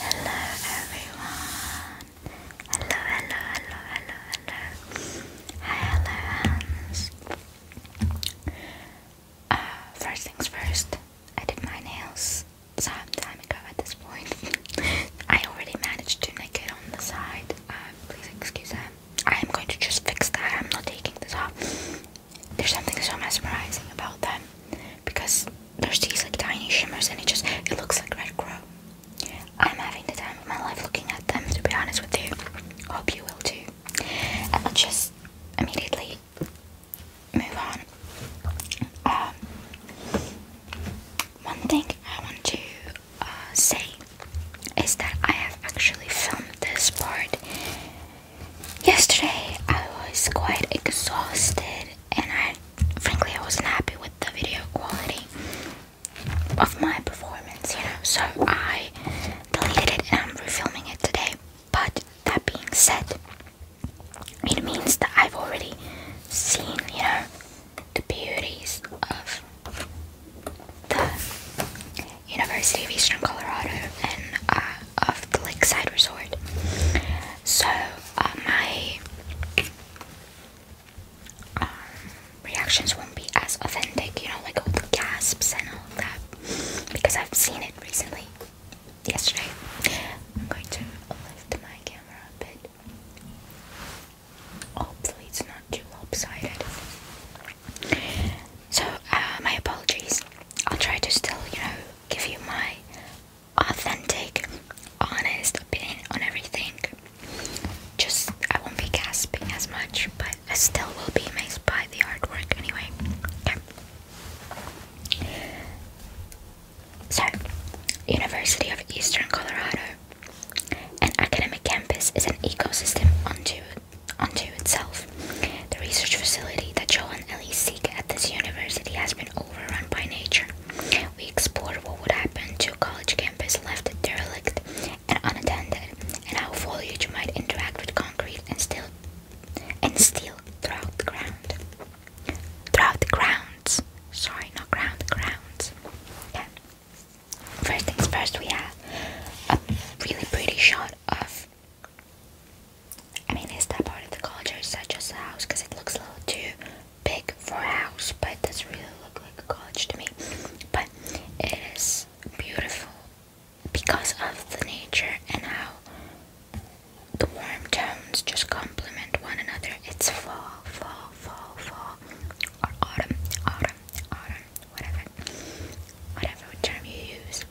Hello everyone. Hello, hello, hello, hello, hello. Hi, hello Uh, first things first, I did my nails some time ago at this point. I already managed to make it on the side. Uh, please excuse that. I'm going to just fix that. I'm not taking this off. There's something so mesmerizing about them because there's these like tiny shimmers and it just it looks like red crow. I'm having the time of my life looking at them to be honest with you. Hope you will too. And let just immediately move on. Um, one thing I want to uh, say is that I have actually filmed this part. Yesterday I was quite exhausted and I frankly I wasn't happy with the video quality of my performance, you know, so I deleted it and I'm refilming it today. But that being said, it means that I've already seen, you know, the beauties of the University of Eastern Colorado and uh, of the Lakeside Resort. So uh, my um, reactions won't be as authentic, you know, like all the gasps and all that, because I've seen it recently, yesterday. I'm going to lift my camera a bit. Hopefully, it's not too lopsided. So, uh, my apologies. I'll try to still, you know, give you my authentic, honest opinion on everything. Just, I won't be gasping as much, but I still will be amazed by the artwork anyway. Okay. So, University of Eastern Colorado an academic campus is an ecosystem unto, unto itself. The research facility that Joe and Ellie seek at this university has been overrun by nature. We explore what would happen to a college campus left derelict and unattended, and how foliage might interact with concrete and steel, and steel throughout the ground. Throughout the grounds. Sorry, not ground, grounds. Yeah. First things first, we have a really pretty shot of. I mean, is that part of the college culture, such as a house? Because it looks a little too big for a house, but it does really look like a college to me. But it is beautiful because of the nature and how the warm tones just complement one another. It's fall, fall, fall, fall, or autumn, autumn autumn, whatever, whatever term you use.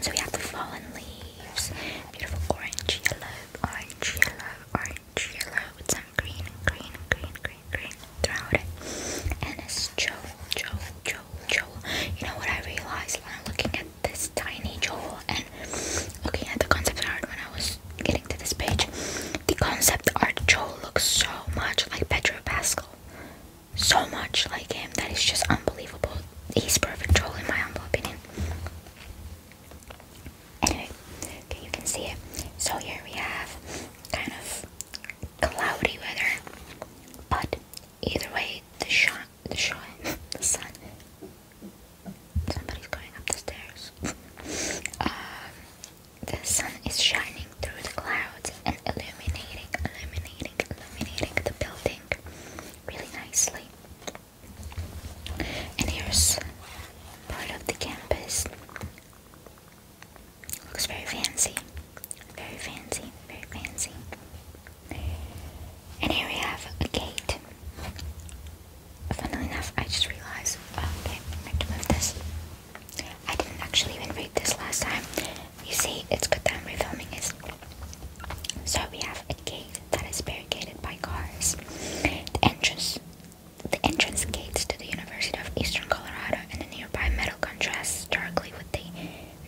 So we have the fallen leaves, beautiful orange, yellow, orange, yellow, orange, yellow, with some green, green, green, green, green throughout it. And it's joel, joel, joel, joel. You know what I realized when I'm looking at this tiny joel and looking at the concept art when I was getting to this page? The concept art Joel looks so much like Pedro Pascal. So much like him that it's just unbelievable. He's perfect Joel in my humble opinion. Anyway, okay, you can see it. So here we have kind of cloudy weather. But either way, the shot, the shot, the sun. Somebody's going up the stairs. um, the sun is shining through the clouds and illuminating, illuminating, illuminating the building really nicely. And here's part of the campus. Looks very fancy. Very fancy, very fancy. And here we have a gate funnily enough, I just realized, oh, okay, I have to move this. I didn't actually even read this last time. You see, it's good that I'm refilming this. So we have a gate that is barricaded by cars. The entrance, the entrance gates to the University of Eastern Colorado and the nearby metal contrasts starkly with the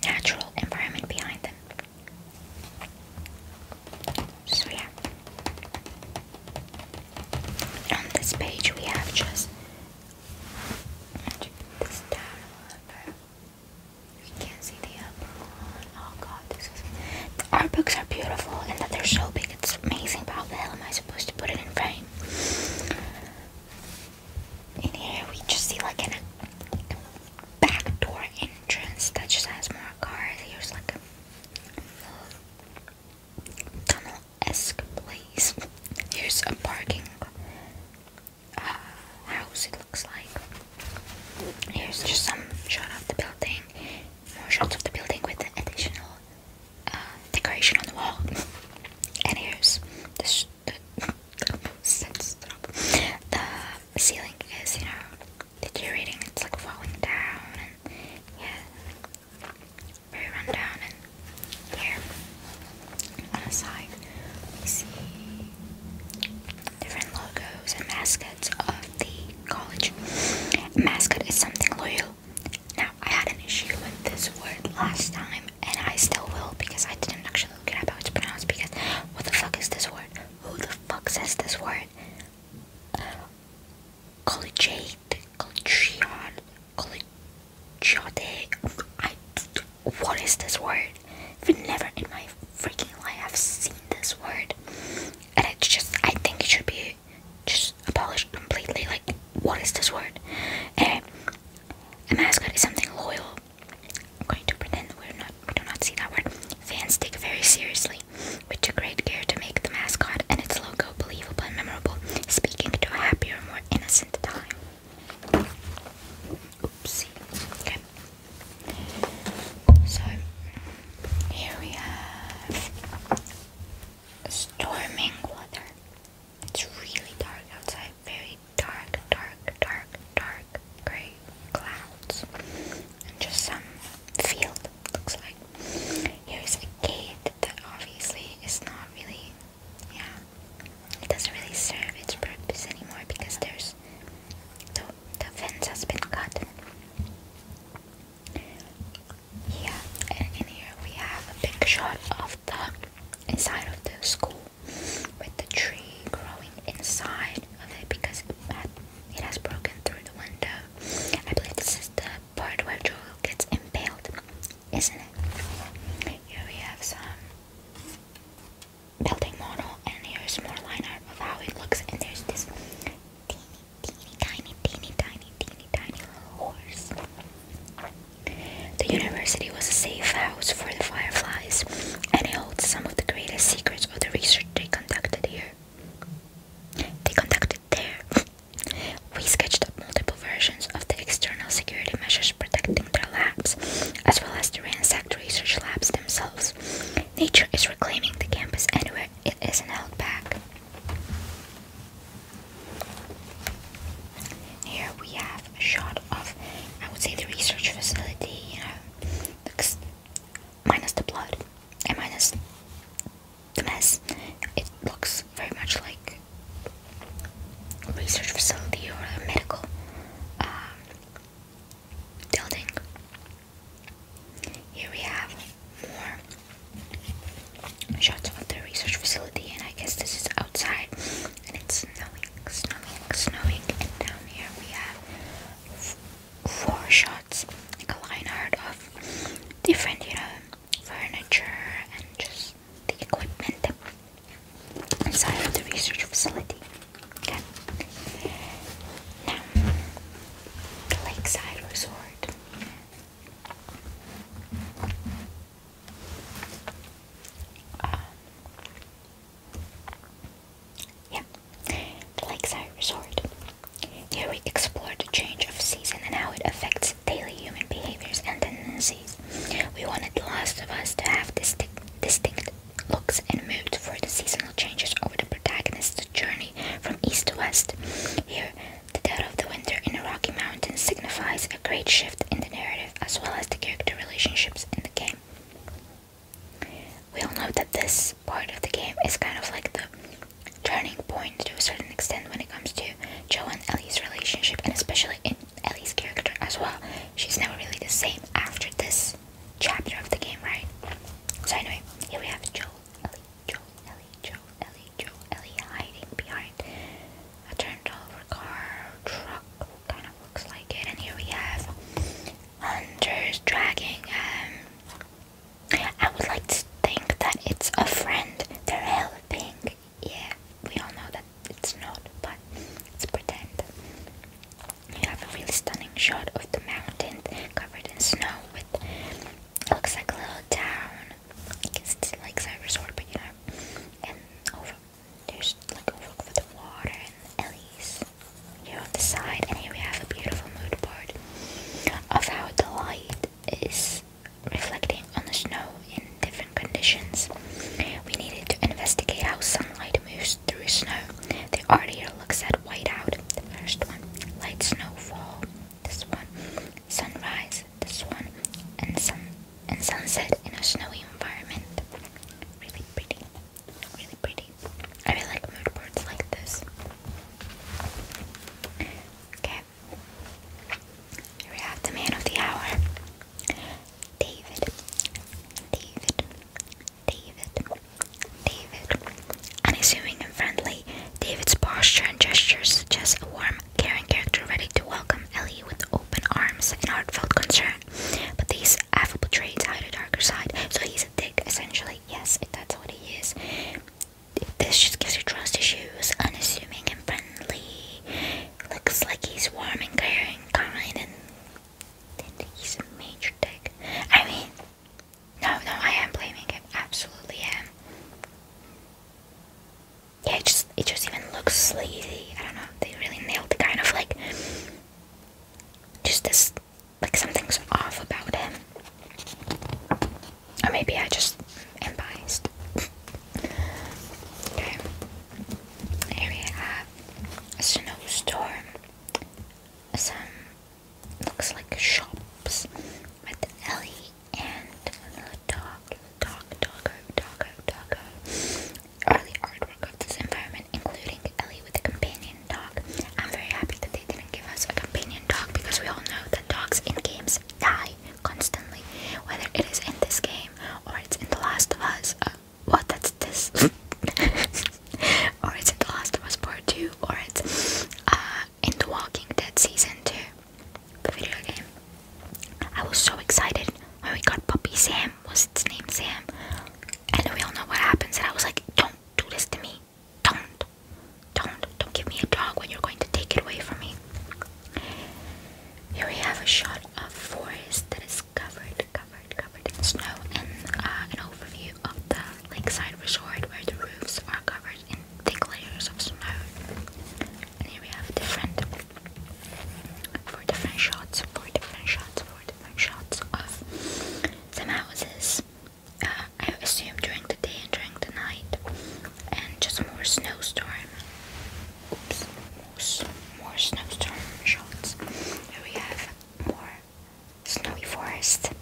natural environment behind them. So yeah. On this page we have just this down We can see the upper one. Oh god, this is our books are beautiful and that they're so big it's amazing, how the hell am I supposed to put it in frame? In here we just see like an back door entrance that just has more cars. Here's like tunnel-esque place. Here's a parking house, it looks like. Here's just some shot of the building, more shots of the building with the additional decoration on the wall. And here's the, the ceiling is, you know, deteriorating. It's like falling down, and yeah, very run And here on the side, see different logos and mascots of the college. mascot is something loyal. Now, I had an issue with this word last time, and I still will because I didn't actually look it up how it's pronounced. Because what the fuck is this word? Who the fuck says this word? collegiate, collegion, collegiate. I, what is this word? I've never in my freaking life have seen this word, and it's just I think it should be just abolished completely. Like, what is this word? a mascot is something loyal. I'm going to pretend we're not we do not see that word. Fans take very seriously. Monopoly. We took great care to make the mascot and its logo believable and memorable, speaking to a happier, more innocent time. Oopsie. Okay. So here we have storming water. It's really dark outside. Very dark, dark, dark, dark gray clouds. And just some field looks like. Here's a gate that obviously is not really, yeah, it doesn't really serve its purpose anymore because there's the, the fence has been cut. Yeah, and in here we have a picture of the inside of the school with the tree growing inside of it because at it has broken through the window. I believe this is the part where Joel gets impaled, isn't it? Here we have some building model, and here's more line art of how it looks, and there's this teeny, teeny, tiny, teeny, tiny, teeny, tiny little horse. The university was a safe house for the fireflies, and it holds some of the greatest secrets of the research they conducted here. They conducted there. we sketched up multiple versions of the external security measures protecting their labs, as well as the ransacked research labs themselves. Nature is reclaiming the campus anywhere it isn't held back. Here we have a shot of, I would say, the research facility, you know, minus the blood and minus the mess, it looks very much like research facility or a medical um, building. Here we have more shots of the research facility, and I guess this is outside, and it's snowing, snowing, snowing. And down here we have four shots, like a line art of different, you know, furniture and just the equipment inside of the research facility. Okay. Now, the Lakeside Resort. Um, yeah, the lakeside resort. Here we explore the change of season and how it affects daily human behaviors and tendencies. We wanted The Last of Us to have distinct, looks and mood for the seasonal changes over the protagonist's journey from east to west. Here, the dead of the winter in the Rocky Mountains signifies a great shift in the narrative as well as the character relationships in the game. We all know that this part of the game is kind of like the turning point to a certain extent when it comes to Joe and Ellie's relationship, and especially in Ellie's character as well. She's never really the same after this chapter of the game, right? So, anyway, here we have Joe, Ellie, Joe, Ellie, Joe, Ellie, Joe, Ellie hiding behind a turned over car, truck, kind of looks like it. And here we have Hunter's dragging um, I would like to think that it's a friend. They're thing. Yeah, we all know that it's not, but let's pretend. You have a really stunning shot of the mountain covered in snow with it looks like a little town. I guess it's like a resort, but you know. And over there's like overlook for the water and the alleys here on the side, and here we have a beautiful mood board of how the light is reflecting on the snow in different conditions. We needed to investigate how sunlight moves through snow. The art here looks at whiteout, the first one, light snowfall, this one, sunrise, this one, and sun and sunset in a snowy environment. Really pretty. Really pretty. I really like mood boards like this. Okay. we have the man of the hour. David. David. David. David. Unassuming and friendly, David's posture and gestures suggest a warm, caring character ready to welcome Ellie with open arms and heartfelt concern. But these Alpha portrays how the darker side, so he's a dick essentially. Yes, that's what he is. This just gives you trust issues, unassuming and friendly. Looks like he's warm and caring, kind, and he's a major dick. I mean, no, no, I am blaming him. Absolutely am. Yeah, it just it just even looks sleazy. I don't know. They really nailed the kind of like just this like something's off about him. Or maybe I just am biased. okay. Here we have a snowstorm. Some looks like shops with Ellie and the dog, dog, doggo, doggo, doggo. Early artwork this environment, including Ellie with a companion dog. I'm very happy that they didn't give us a companion dog because we all know that dogs in games die constantly, whether it is in this game or it's in The Last of Us. Uh, what? That's this. or it's in The Last of Us Part 2, or it's uh, in The Walking Dead Season 2, the video game. I was so excited when we got puppy Sam. Was its name Sam? And we all know what happens. And I was like, don't do this to me. Don't. Don't. Don't give me a dog when you're going to take it away from me. Here we have a shot of forest that is covered, covered, covered in snow and uh, an overview of the lakeside resort where the roofs are covered in thick layers of snow. And here we have different, four different shots, four different shots, different shots of some houses. Uh, I assume during the day and during the night, and just more snowstorm. Oops, more, more snowstorm shots. Here we have more snowy forest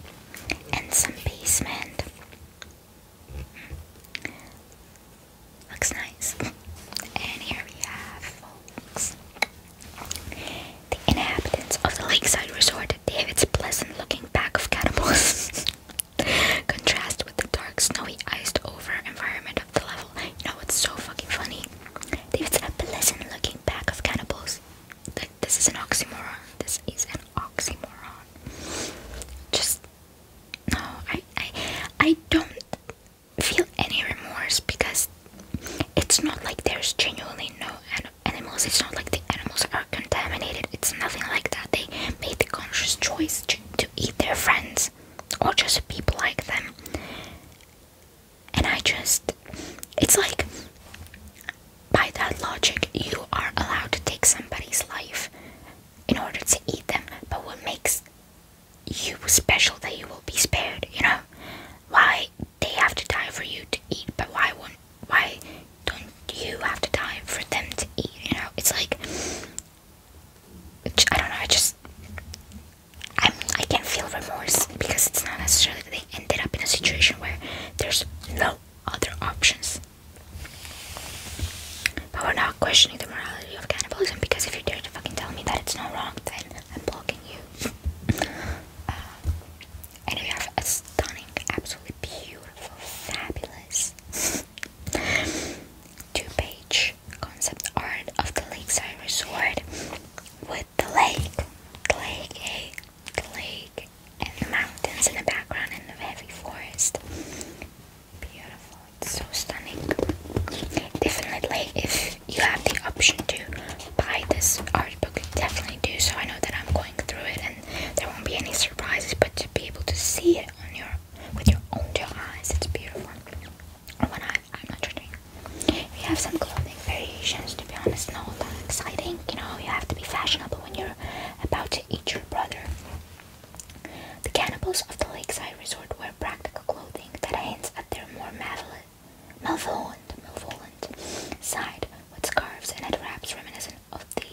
and some basement. Looks nice. And here we have the inhabitants of the lakeside resort gave its pleasant looking pack of cannibals. Contrast with the dark, snowy, iced over environment of the level. You know what's so fucking funny? It's pleasant looking pack of cannibals. this is an oxymoron. This is an oxymoron. Just no, I I I don't feel any remorse because it's not like there's genuinely no animals. It's not like the animals are contaminated. It's nothing like that. They made the conscious choice to, eat their friends or just people like them. And I just, it's like by that logic, you are allowed to take somebody's life in order to eat them. But what makes you special that you will be spared, you know? Why they have to die for you to eat, but why won't why don't you have to die for them to eat, you know? It's like I don't know, I just I'm I i can not feel remorse because it's not necessarily they ended up in a situation where there's no other options. But we're not questioning the morality of cannibalism because if you dare to fucking tell me that it's not wrong, then I'm blocking you. Uh, and we have a stunning, absolutely beautiful, fabulous two-page concept art of the lakeside resort with the lake, lake, eh? lake, and the mountains in the background and the heavy forest. Beautiful, it's so stunning. Definitely, you have the option to buy this art book, definitely do so. I know that I'm going through it and there won't be any surprises, but to be able to see it on your with your own two eyes, it's beautiful. Or one I'm not judging. We have some clothing variations to be honest, not that exciting. You know, you have to be fashionable when you're about to eat your brother. The cannibals of the lakeside resort wear practical clothing that hints at their more malevolent, malevolent side with scarves and head wraps reminiscent of the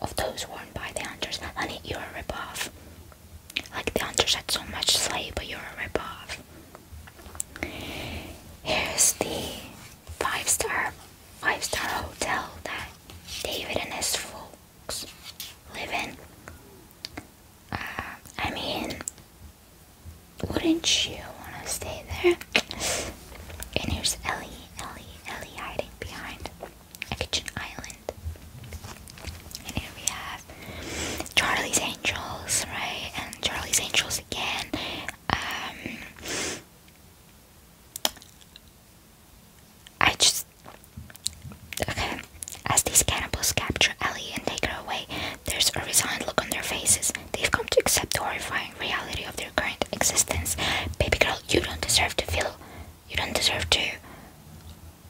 of those worn by the hunters. Honey, you're a ripoff. Like the hunters had so much slay, but you're a ripoff. Here's the five star five star hotel that David and his folks live in. Uh, I mean, wouldn't you want to stay there? And here's Ellie, Ellie, Ellie hiding behind a kitchen island. And here we have Charlie's Angels, right? And Charlie's Angels again. Um, I just okay. As these cannibals capture Ellie and take her away, there's a resigned look on their faces. They've come to accept the horrifying reality of their current existence. Baby girl, you don't deserve to feel. You don't deserve to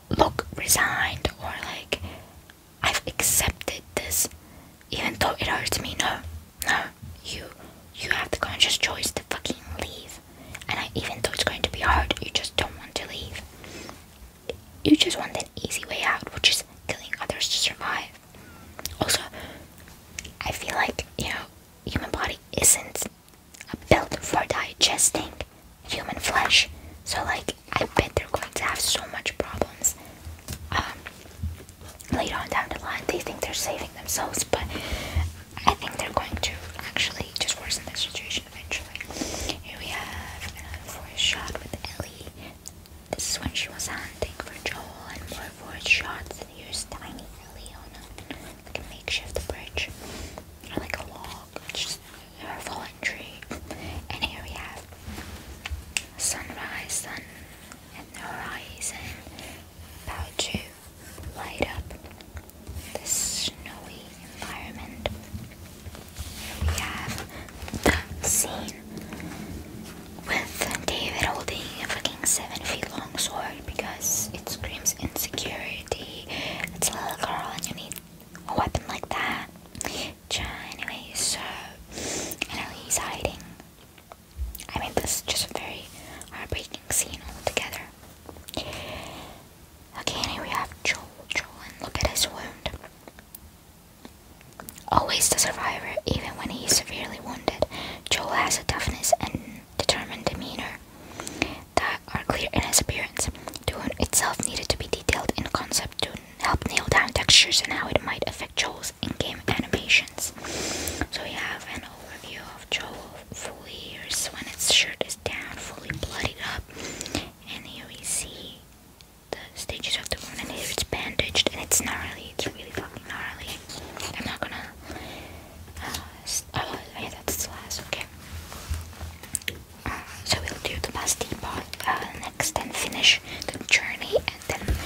look resigned or like, I've accepted this. Even though it hurts me, no, no, you, you have the conscious choice to fucking leave, and I, even though it's going to be hard, you just don't want to leave. You just want an easy way out, which is killing others to survive. Also, I feel like, you know, human body isn't built for digesting human flesh. So like I bet they're going to have so much problems. Um later on down the line they think they're saving themselves, but I think they're going to actually just worsen the situation collection Here we have another shot with Ellie. This is when she was hunting for Joel and more voice shots. here's tiny Ellie on a, makeshift bridge. Or like a log. just her fallen tree. And here we have sunrise, sun and the horizon about to light up this snowy environment. we have the scene with David holding a fucking seven feet long sword because it screams insecurity. It's a little girl and you need a weapon like that. anyway, so I know he's hiding. I mean, this is just a very heartbreaking scene altogether. Okay, here we have Joel. look at his wound. Always a survivor, even when he's severely wounded. Joel has a toughness and determined demeanor that are clear in his appearance. The wound itself needed to be detailed in concept to help nail down textures and how it might affect Joel's in-game animations. So we have an overview of Joel fully. Here's when its shirt is down, fully bloodied up and here we see the stages of the wound, and here it's bandaged, and it's gnarly, it's really fucking gnarly. I'm not gonna, uh, oh, yeah, that's the last, okay. Uh, so we'll do the pasty part uh, next and finish the journey, and then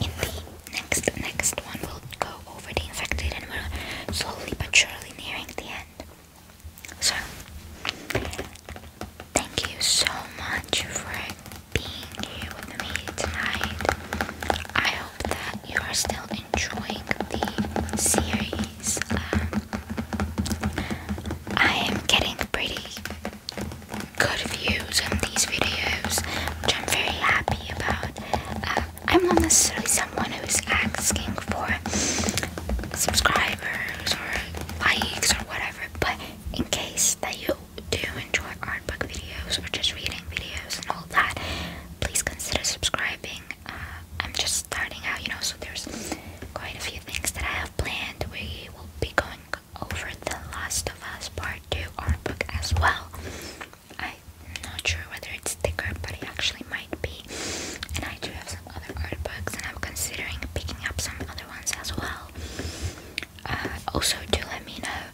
in the next, next one we'll go over the infected, and we're slowly but surely nearing the end. So, thank you so much for being here with me tonight. I hope that you are still enjoying the series. Um, I am getting pretty good views on these videos, which I'm very happy about. Uh, I'm not necessarily someone who is asking for subscribers or likes or whatever. But in case that you do enjoy art book videos or just reading videos and all that, please consider subscribing. Uh, I'm just starting out, you know, so there's quite a few things that I have planned. We will be going over The Last of Us Part 2 art book as well. I'm not sure whether it's thicker, but it actually might be. And I do have other art books, and I'm considering picking up some other ones as well. Uh, also, do let me know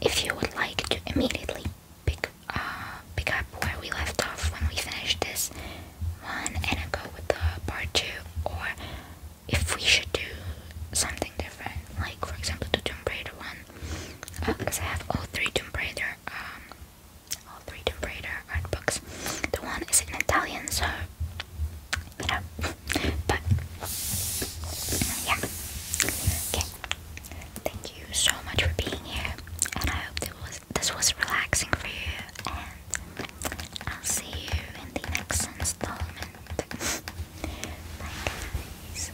if you would like to immediately pick uh, pick up where we left off when we finish this one and go with the part two, or if we should do something different, like for example the Tomb Raider one, because uh, I have all three Tomb Raider um, all three Tomb Raider art books. The one is in Italian, so better. but yeah. Okay. Thank you so much for being here, and I hope this was relaxing for you. And I'll see you in the next installment. Bye, guys.